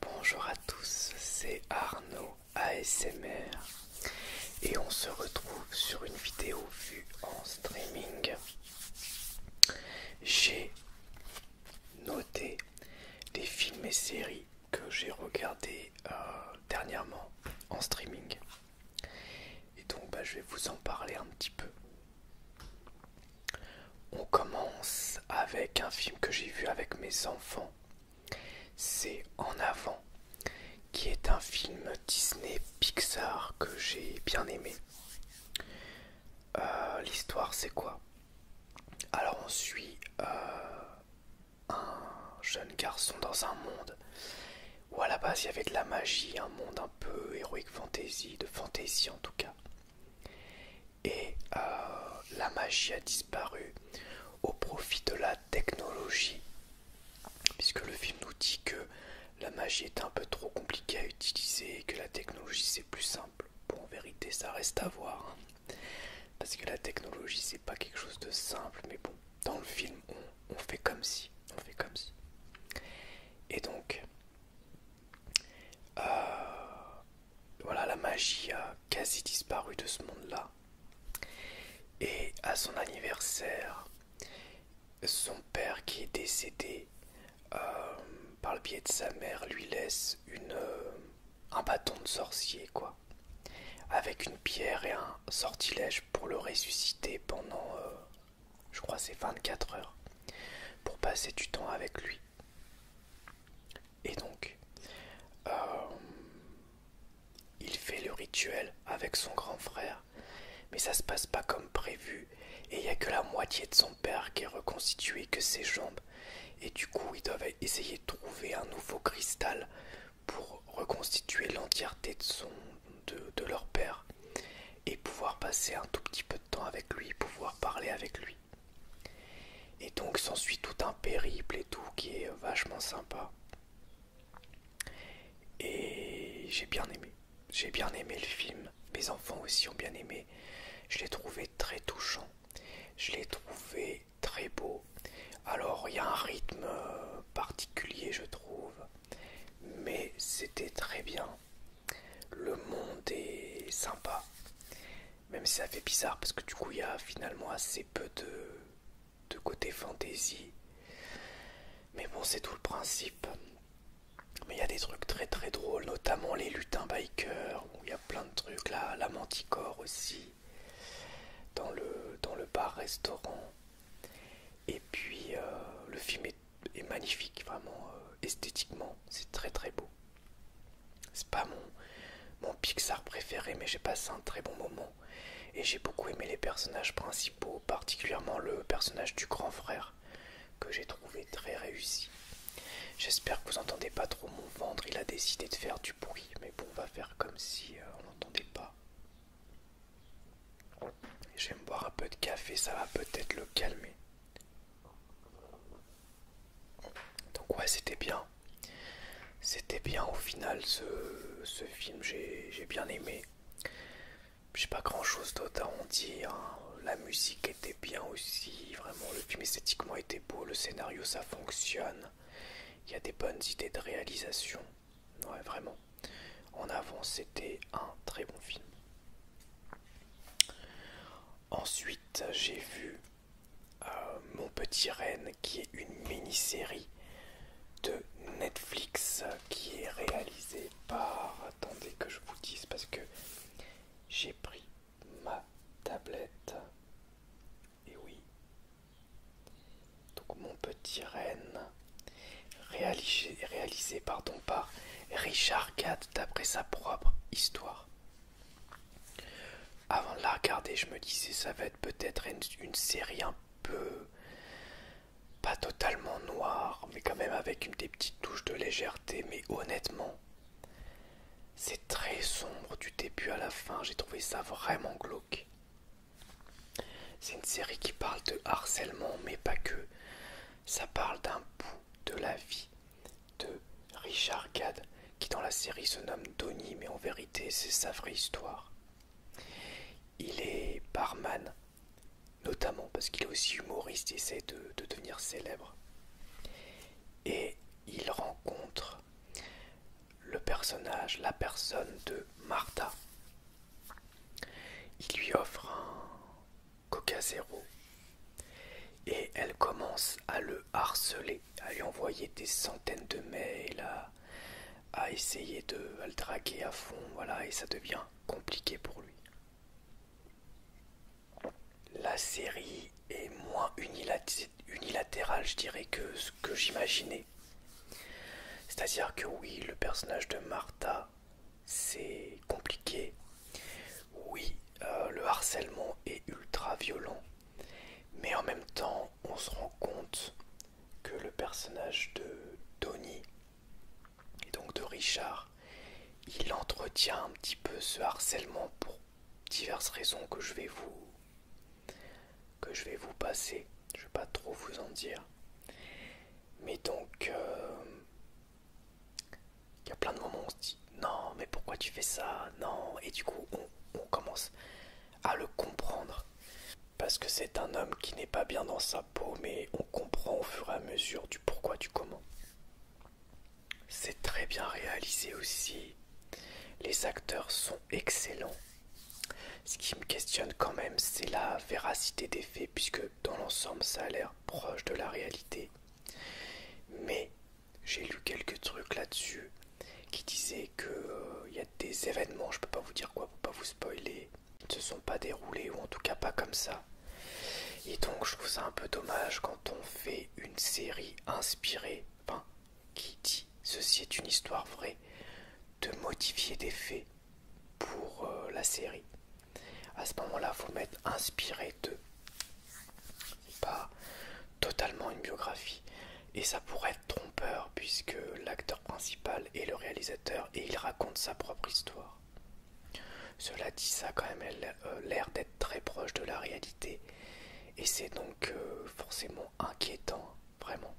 Bonjour à tous, c'est Arnaud ASMR et on se retrouve sur une vidéo vue en streaming. J'ai noté les films et séries que j'ai regardé euh, dernièrement en streaming. Et donc bah, je vais vous en parler un petit peu. On commence avec un film que j'ai vu avec mes enfants. C'est En avant, qui est un film Disney Pixar que j'ai bien aimé. Euh, l'histoire c'est quoi Alors on suit euh, un jeune garçon dans un monde où à la base il y avait de la magie, un monde un peu héroïque fantasy, de fantasy en tout cas. Et euh, la magie a disparu au profit de la technologie, puisque le film nous dit que la magie est un peu trop compliquée à utiliser et que la technologie c'est plus simple. Bon, en vérité, ça reste à voir. Hein. Parce que la technologie c'est pas quelque chose de simple, mais bon, dans le film, on, fait comme si, on fait comme si. Et donc, euh, voilà, la magie a quasi disparu de ce monde-là. Et à son anniversaire, son père qui est décédé euh, par le biais de sa mère lui laisse une, euh, un bâton de sorcier, quoi avec une pierre et un sortilège pour le ressusciter pendant, euh, je crois, c'est 24 heures, pour passer du temps avec lui. Et donc, euh, il fait le rituel avec son grand frère, mais ça se passe pas comme prévu, et il n'y a que la moitié de son père qui est reconstitué que ses jambes, et du coup, ils doivent essayer de trouver un nouveau cristal pour reconstituer l'entièreté de, son, de, leur père et pouvoir passer un tout petit peu de temps avec lui, pouvoir parler avec lui. Et donc s'ensuit tout un périple et tout qui est vachement sympa. Et j'ai bien aimé. J'ai bien aimé le film. Mes enfants aussi ont bien aimé. Je l'ai trouvé très touchant. Je l'ai trouvé très beau. Alors il y a un rythme euh, particulier je trouve, mais c'était très bien. Le monde est sympa, même si ça fait bizarre parce que du coup il y a finalement assez peu de, de côté fantaisie. Mais bon c'est tout le principe. Mais il y a des trucs très très drôles, notamment les lutins bikers, où il y a plein de trucs là, la manticore aussi dans le, dans le bar-restaurant. Et puis euh, le film est, magnifique, vraiment euh, esthétiquement, c'est très très beau. C'est pas mon, mon Pixar préféré, mais j'ai passé un très bon moment. Et j'ai beaucoup aimé les personnages principaux, particulièrement le personnage du grand frère, que j'ai trouvé très réussi. J'espère que vous n'entendez pas trop mon ventre, il a décidé de faire du bruit, mais bon, on va faire comme si euh, on n'entendait pas j'aime boire un peu de café, ça va peut-être le calmer. Donc ouais, c'était bien. C'était bien au final ce, film, j'ai bien aimé. J'ai pas grand chose d'autre à en dire. Hein. La musique était bien aussi, vraiment le film esthétiquement était beau, le scénario ça fonctionne. Il y a des bonnes idées de réalisation. Ouais, vraiment. En avant, c'était un très bon film. Ensuite, j'ai vu euh, Mon Petit Reine, qui est une mini-série de Netflix qui est réalisée par. Attendez que je vous dise parce que j'ai pris ma tablette. Et oui. Donc mon petit Reine, réalisé, réalisé pardon, par Richard Gad d'après sa propre histoire. Avant de la regarder, je me disais ça va être peut-être une, une série un peu pas totalement noire, mais quand même avec une, des petites touches de légèreté. Mais honnêtement, c'est très sombre du début à la fin. J'ai trouvé ça vraiment glauque. C'est une série qui parle de harcèlement, mais pas que. Ça parle d'un bout de la vie de Richard Gad, qui dans la série se nomme Donny, mais en vérité c'est sa vraie histoire. Il est barman, notamment parce qu'il est aussi humoriste et essaie de devenir célèbre. Et il rencontre le personnage, la personne de Marta, Il lui offre un coca zéro et elle commence à le harceler, à lui envoyer des centaines de mails, à, essayer de le draguer à fond, voilà, et ça devient compliqué pour lui. La série est moins unilatérale unilatéral, je dirais, que ce que j'imaginais. C'est-à-dire que oui, le personnage de Martha, c'est compliqué. Oui, euh, le harcèlement est ultra violent. Mais en même temps, on se rend compte que le personnage de Tony, et donc de Richard, il entretient un petit peu ce harcèlement pour diverses raisons que je vais vous que je vais vous passer. Je ne vais pas trop vous en dire. Mais donc, euh, il y a plein de moments où on se dit non, mais pourquoi tu fais ça Non. Et du coup, on, on commence à le comprendre. Parce que c'est un homme qui n'est pas bien dans sa peau, mais on comprend au fur et à mesure du pourquoi, du comment. C'est très bien réalisé aussi. Les acteurs sont excellents. Ce qui me questionne quand même, c'est la véracité des faits, puisque dans l'ensemble, ça a l'air proche de la réalité. Mais j'ai lu quelques trucs là-dessus qui disaient que euh, il y a des événements, je ne peux pas vous dire quoi pour pas vous spoiler, qui ne se sont pas déroulés ou en tout cas pas comme ça. Et donc je trouve ça un peu dommage quand on fait une série inspirée, enfin qui dit ceci est une histoire vraie, de modifier des faits pour euh, la série. À ce moment-là, vous mettre inspiré de, pas totalement une biographie. Et ça pourrait être trompeur puisque l'acteur principal est le réalisateur et il raconte sa propre histoire. Cela dit, ça a quand même l'air euh, d'être très proche de la réalité et c'est donc euh, forcément inquiétant, vraiment.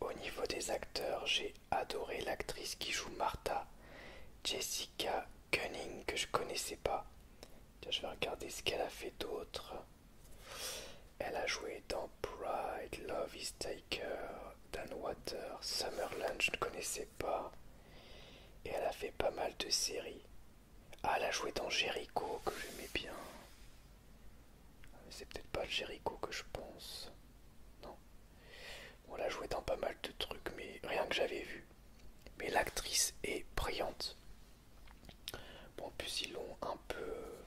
Au niveau des acteurs, j'ai adoré l'actrice qui joue Martha, Jessica Cunning, que je connaissais pas. Je vais regarder ce qu'elle a fait d'autre. Elle a joué dans Pride, Love is Taker, Dan Water, Summerland, je ne connaissais pas. Et elle a fait pas mal de séries. Ah, la jouée dans Jericho que j'aimais bien. Ah, c'est peut-être pas Jericho que je pense. Non. On l'a joué dans pas mal de trucs, mais rien que j'avais vu. Mais l'actrice est brillante. Bon, puis ils l'ont un peu euh,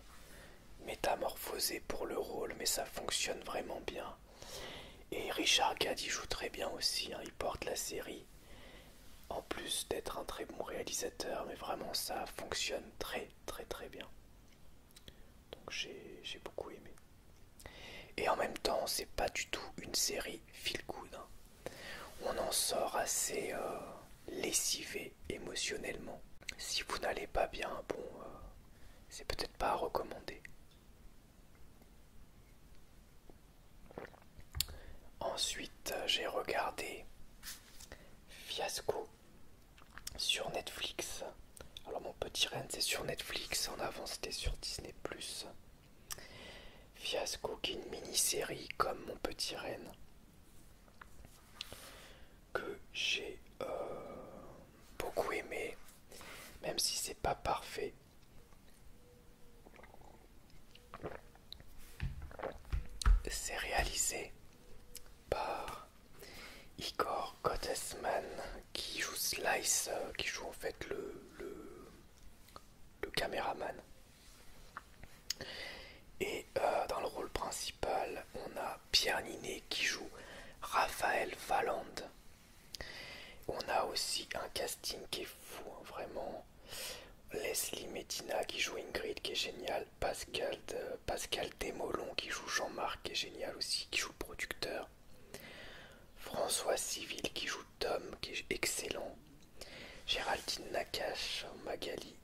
métamorphosé pour le rôle, mais ça fonctionne vraiment bien. Et Richard Gad joue très bien aussi, hein. il porte la série. En plus d'être un très bon réalisateur, mais vraiment ça fonctionne très très très bien. Donc j'ai beaucoup aimé. Et en même temps, c'est pas du tout une série feel good. Hein. On en sort assez euh, lessivé émotionnellement. Si vous n'allez pas bien, bon, euh, c'est peut-être pas à recommander. Ensuite, euh, j'ai regardé Fiasco sur Netflix. Alors, mon petit reine, c'est sur Netflix. En avant, c'était sur Disney. Fiasco, qui est une mini-série comme mon petit reine. Que j'ai euh, beaucoup aimé. Même si c'est pas parfait, c'est réalisé par Igor Gottesman qui joue Slice, euh, qui joue en fait le, le, caméraman. Et euh, dans le rôle principal, on a Pierre Ninet qui joue Raphaël Valand. On a aussi un casting qui est fou, hein, vraiment. Leslie Medina qui joue Ingrid qui est génial, Pascal, euh, Pascal qui joue Jean-Marc qui est génial aussi, qui joue producteur, François Civil qui joue Tom qui est excellent, Géraldine Nakache, Magali,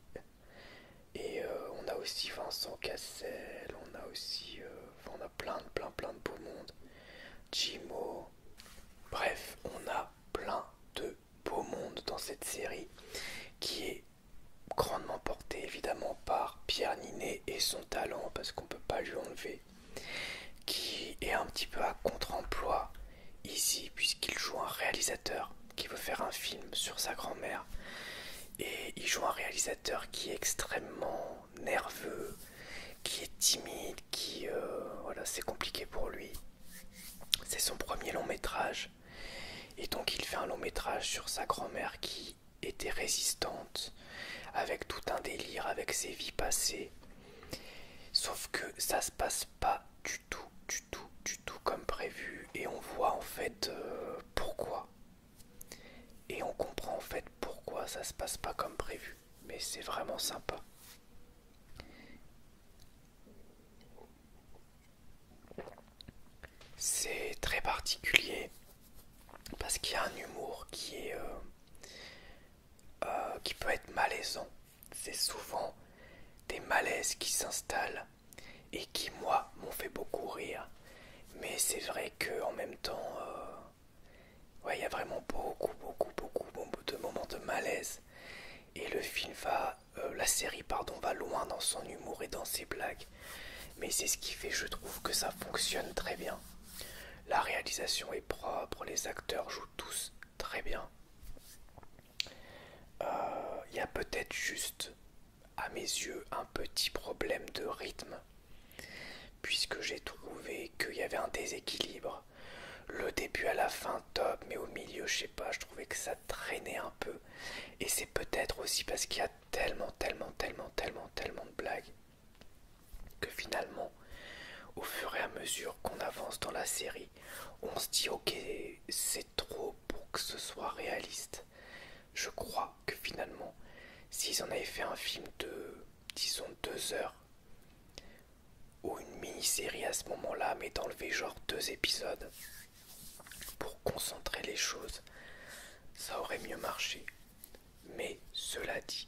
et euh, on a aussi Vincent Cassel, on a aussi euh, a plein de plein plein de beau monde, Jimo, bref on a plein de beau monde dans cette série qui est grandement porté évidemment par Pierre Ninet et son talent parce qu'on ne peut pas lui enlever qui est un petit peu à contre-emploi ici puisqu'il joue un réalisateur qui veut faire un film sur sa grand-mère et il joue un réalisateur qui est extrêmement nerveux qui est timide qui euh, voilà c'est compliqué pour lui c'est son premier long métrage. Et donc il fait un long métrage sur sa grand-mère qui était résistante, avec tout un délire, avec ses vies passées. Sauf que ça se passe pas du tout, du tout, du tout comme prévu. Et on voit en fait euh, pourquoi. Et on comprend en fait pourquoi ça se passe pas comme prévu mais c'est vraiment sympa. C'est très particulier parce qu'il y a un humour qui est euh, euh, qui peut être malaisant. C'est souvent des malaises qui s'installent et qui moi m'ont fait beaucoup rire. Mais c'est vrai que en même temps, euh, il y a vraiment beaucoup, beaucoup, beaucoup de moments de malaise et le film va, euh, la série pardon, va loin dans son humour et dans ses blagues. Mais c'est ce qui fait, je trouve, que ça fonctionne très bien. La réalisation est propre, les acteurs jouent tous très bien. Euh, il y a peut-être juste, à mes yeux, un petit problème de rythme, puisque j'ai trouvé qu'il y avait un déséquilibre le début à la fin, top, mais au milieu, je sais pas, je trouvais que ça traînait un peu. Et c'est peut-être aussi parce qu'il y a tellement, tellement, tellement, tellement, tellement de blagues que finalement, au fur et à mesure qu'on avance dans la série, on se dit ok, c'est trop pour que ce soit réaliste. Je crois que finalement, s'ils en avaient fait un film de, disons, deux heures, ou une mini-série à ce moment-là, mais d'enlever genre deux épisodes pour concentrer les choses, ça aurait mieux marché. Mais cela dit,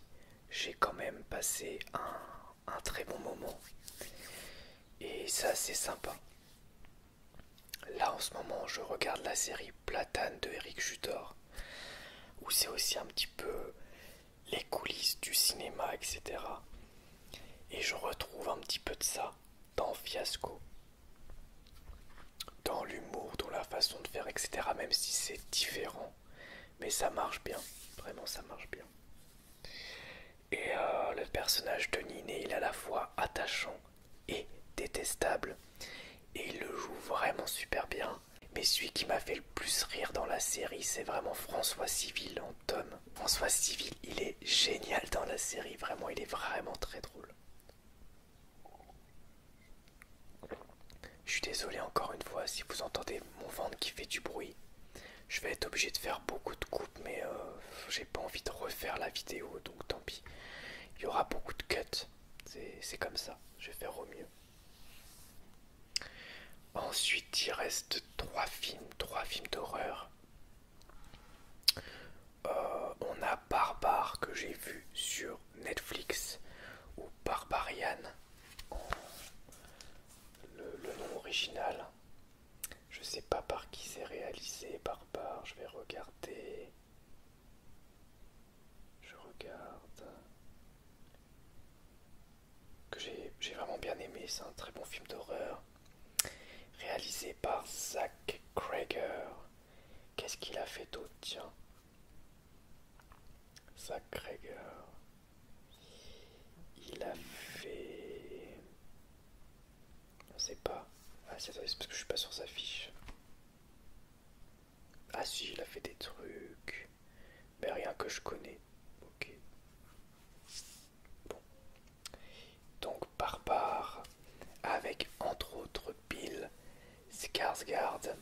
j'ai quand même passé un, très bon moment. Et ça c'est sympa. Là en ce moment je regarde la série Platane de Eric Judor. Où c'est aussi un petit peu les coulisses du cinéma, etc. Et je retrouve un petit peu de ça dans Fiasco. Dans l'humour, dans la façon de faire, etc. Même si c'est différent. Mais ça marche bien. Vraiment, ça marche bien. Et euh, le personnage de Niné, il est à la fois attachant et détestable. Et il le joue vraiment super bien. Mais celui qui m'a fait le plus rire dans la série, c'est vraiment François Civil Tom, François Civil, il est génial dans la série, vraiment, il est vraiment très drôle. Je suis désolé encore une fois si vous entendez mon ventre qui fait du bruit. Je vais être obligé de faire beaucoup de coupes, mais euh, j'ai pas envie de refaire la vidéo, donc tant pis. Il y aura beaucoup de cuts, c'est comme ça, je vais faire au mieux. Ensuite, il reste trois films, trois films d'horreur. Euh, on a Barbare que j'ai vu sur Netflix ou Barbarian, le, nom original. Je ne sais pas par qui c'est réalisé, Barbare. Je vais regarder. Je regarde que j'ai vraiment bien aimé. C'est un très bon film d'horreur réalisé par Zach Krager. Qu'est-ce qu'il a fait d'autre Tiens, Zach Krager. Il a fait. On sait pas. Ah, c'est parce que je suis pas sur sa fiche. Ah, si, il a fait des trucs. Mais rien que je connais. Ok. Donc Barbare, avec entre autres Bill, Skarsgård,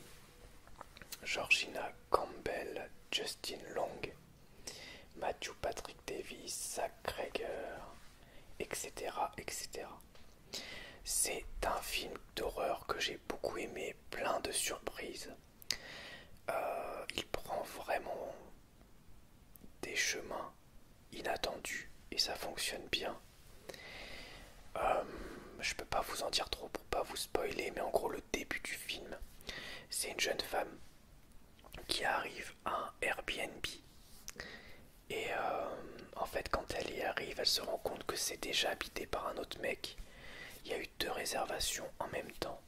Georgina Campbell, Justin Long, Matthew Patrick Davis, Zach Greger, etc. etc. C'est un film d'horreur que j'ai beaucoup aimé, plein de surprises. Euh, il prend vraiment des chemins inattendus et ça fonctionne bien. Je euh, je peux pas vous en dire trop pour pas vous spoiler, mais en gros le début du film, c'est une jeune femme qui arrive à un Airbnb et euh, en fait quand elle y arrive, elle se rend compte que c'est déjà habité par un autre mec. Il y a eu deux réservations en même temps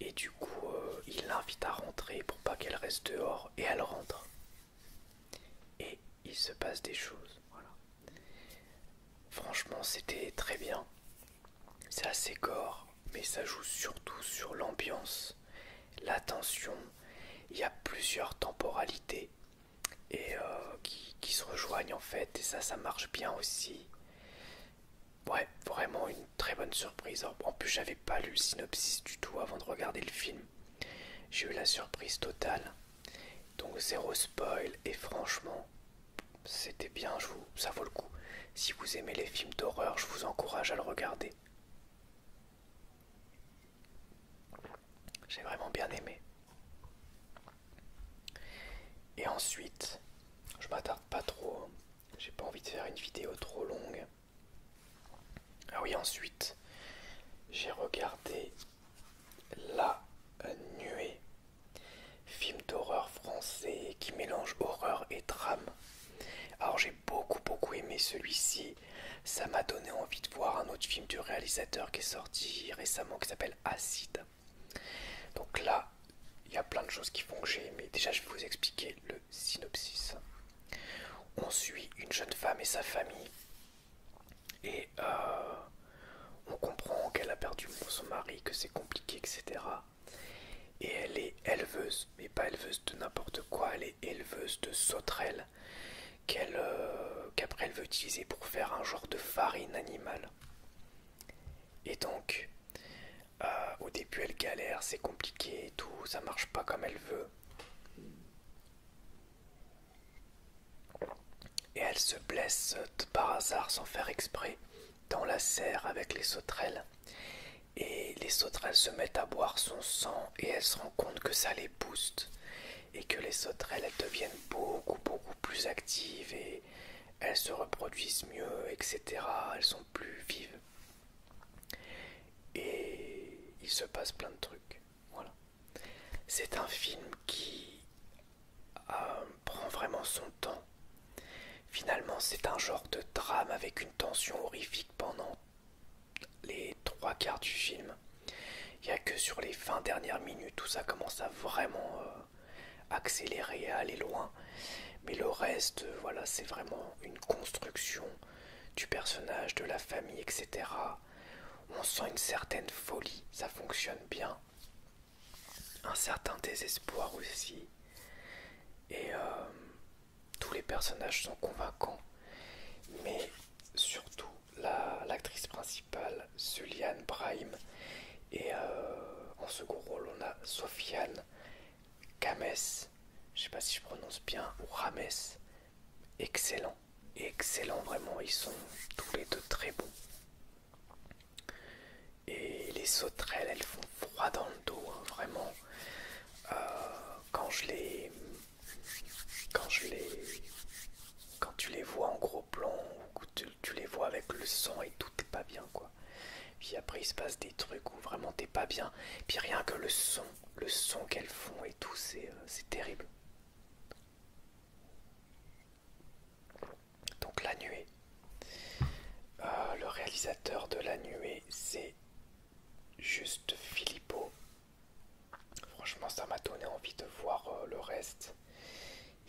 et du coup, euh, il l'invite à rentrer pour pas qu'elle reste dehors et elle rentre. Et il se passe des choses. Franchement, c'était très bien. C'est assez gore, mais ça joue surtout sur l'ambiance, l'attention Il y a plusieurs temporalités et euh, qui se rejoignent en fait, et ça, ça marche bien aussi. Ouais, vraiment une très bonne surprise. En plus, j'avais pas lu le synopsis du tout avant de regarder le film. J'ai eu la surprise totale. Donc zéro spoil et franchement, c'était bien, je ça vaut le coup. Si vous aimez les films d'horreur, je vous encourage à le regarder. J'ai vraiment bien aimé. Et ensuite, je m'attarde pas trop. Hein. J'ai pas envie de faire une vidéo trop longue. Ah oui, ensuite, j'ai regardé La Nuée, film d'horreur français qui mélange horreur et drame. Alors j'ai beaucoup beaucoup aimé celui-ci. Ça m'a donné envie de voir un autre film du réalisateur qui est sorti récemment qui s'appelle Acide. Donc là, il y a plein de choses qui font que j'ai Déjà, je vais vous expliquer le synopsis. On suit une jeune femme et sa famille. Et euh, on comprend qu'elle a perdu son mari, que c'est compliqué, etc. Et elle est éleveuse, mais pas éleveuse de n'importe quoi, elle est éleveuse de sauterelles qu'elle euh, qu'après elle veut utiliser pour faire un genre de farine animale. Et donc euh, au début, elle galère, c'est compliqué et tout, ça marche pas comme elle veut. Et elle se blesse par hasard, sans faire exprès, dans la serre avec les sauterelles. Et les sauterelles se mettent à boire son sang et elle se rend compte que ça les booste. Et que les sauterelles, deviennent beaucoup, beaucoup plus actives et elles se reproduisent mieux, etc. Elles sont plus vives. Et il se passe plein de trucs. Voilà. C'est un film qui euh, prend vraiment son temps. Finalement, c'est un genre de drame avec une tension horrifique pendant les trois quarts du film. Il n'y a que sur les 20 dernières minutes où ça commence à vraiment euh, accéléré à aller loin. Mais le reste, euh, voilà, c'est vraiment une construction du personnage, de la famille, etc. On sent une certaine folie, ça fonctionne bien. Un certain désespoir aussi. Et euh, tous les personnages sont convaincants. Mais surtout, l'actrice principale, Suliane Brahim, et euh, en second rôle, on a Sofiane Kames, je ne sais pas si je prononce bien, ou Rames. Excellent, excellent vraiment, ils sont tous les deux très bons. Et les sauterelles, elles font froid dans le dos, hein, vraiment. Euh, quand je les. Quand je les. Quand tu les vois en gros plan ou tu, les vois avec le son et tout, t'es pas bien quoi. Puis après il se passe des trucs où vraiment t'es pas bien. Puis rien que le son, le son qu'elles font et tout, c'est euh, terrible. Donc la nuée. Euh, le réalisateur de la nuée, c'est juste Filippo. Franchement, ça m'a donné envie de voir euh, le reste.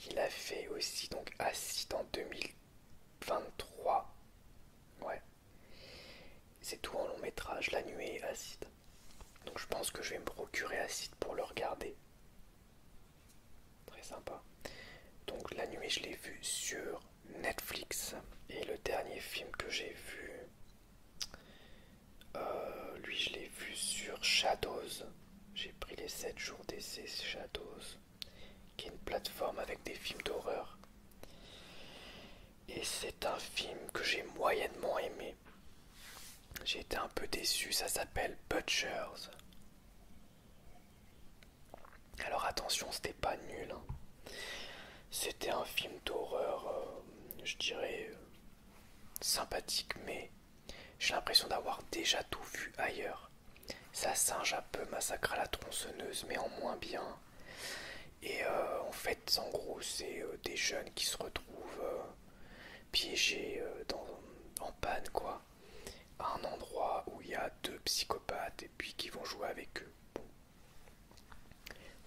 Il a fait aussi donc Acide en 23. Ouais. C'est tout en long métrage, La Nuée et Acide. Donc je pense que je vais me procurer Acide pour le regarder. Très sympa. Donc La Nuée, je l'ai vu sur Netflix. Et le dernier film que j'ai vu, euh, lui, je l'ai vu sur Shadows. J'ai pris les 7 jours d'essai Shadows qui est une plateforme avec des films d'horreur. Et c'est un film que j'ai moyennement aimé. J'ai été un peu déçu, ça s'appelle Butchers. Alors attention, c'était pas nul. Hein. C'était un film d'horreur, euh, je dirais, euh, sympathique, mais j'ai l'impression d'avoir déjà tout vu ailleurs. Ça singe un peu à la tronçonneuse, mais en moins bien. Et euh, en fait, en gros, c'est euh, des jeunes qui se retrouvent euh, piégés en panne, quoi. À un endroit où il y a deux psychopathes et puis qui vont jouer avec eux.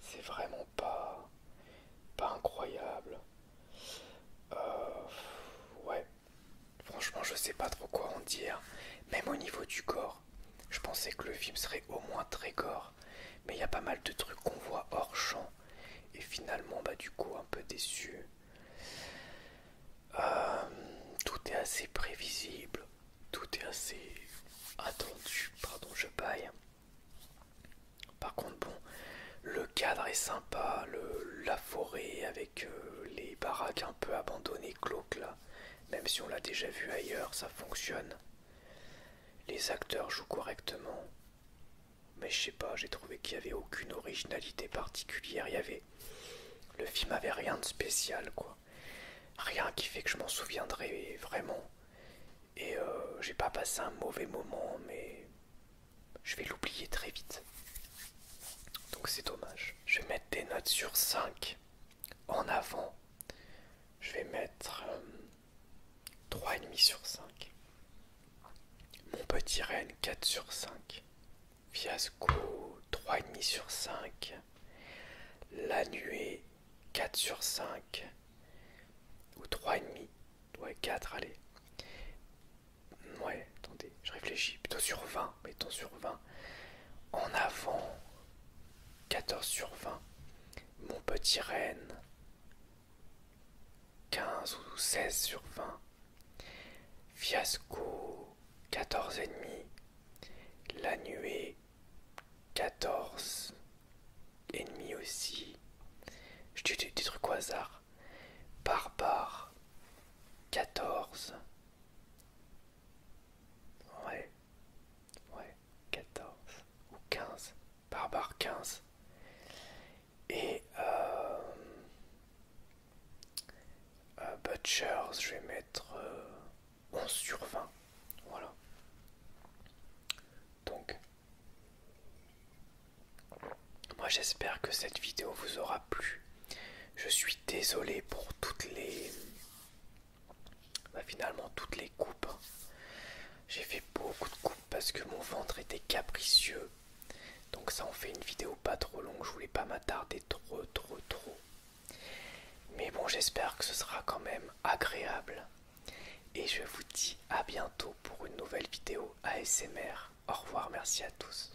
C'est vraiment pas, pas incroyable. ouais. Franchement, je sais pas trop quoi en dire. Même au niveau du corps, je pensais que le film serait au moins très gore, mais il y a pas mal de trucs qu'on voit hors champ. Et finalement, bah du coup, un peu déçu. Euh, tout est assez prévisible, tout est assez attendu. Pardon, je paille. Par contre, bon, le cadre est sympa, la forêt avec que euh, les baraques un peu abandonnées glauques là. Même si on l'a déjà vu ailleurs, ça fonctionne. Les acteurs jouent correctement. Mais je sais pas, j'ai trouvé qu'il n'y avait aucune originalité particulière. Il y avait. Le film avait rien de spécial, quoi. Rien qui fait que je m'en souviendrai vraiment. Et euh, j'ai pas passé un mauvais moment, mais je vais l'oublier très vite. Donc c'est dommage. Je vais mettre des notes sur 5 en avant. Je vais mettre 3,5 euh, sur 5. Mon petit Rennes 4 sur 5. Fiasco 3,5 sur 5. La nuée 4 sur 5. Ou 3,5. Ouais 4 allez. Ouais, attendez, je réfléchis. Plutôt sur 20, mettons sur 20. En avant, 14 sur 20. Mon petit reine, 15 ou 16 sur 20. Fiasco, 14 et demi. La nuée, 14 et demi aussi. Je dis des trucs au hasard. Barbare, 14 Ouais. Ouais. 14 ou 15. Barbare 15. Et euh, euh, Butchers, je vais mettre 11 euh, sur 20. Voilà. Donc, moi j'espère que cette vidéo vous aura plu. Je suis désolé pour toutes les... Bah, finalement toutes les coupes. J'ai fait beaucoup de coupes parce que mon ventre était capricieux. Donc ça en fait une vidéo pas trop longue. Je voulais pas m'attarder trop trop trop. Mais bon j'espère que ce sera quand même agréable. Et je vous dis à bientôt pour une nouvelle vidéo ASMR. Au revoir, merci à tous.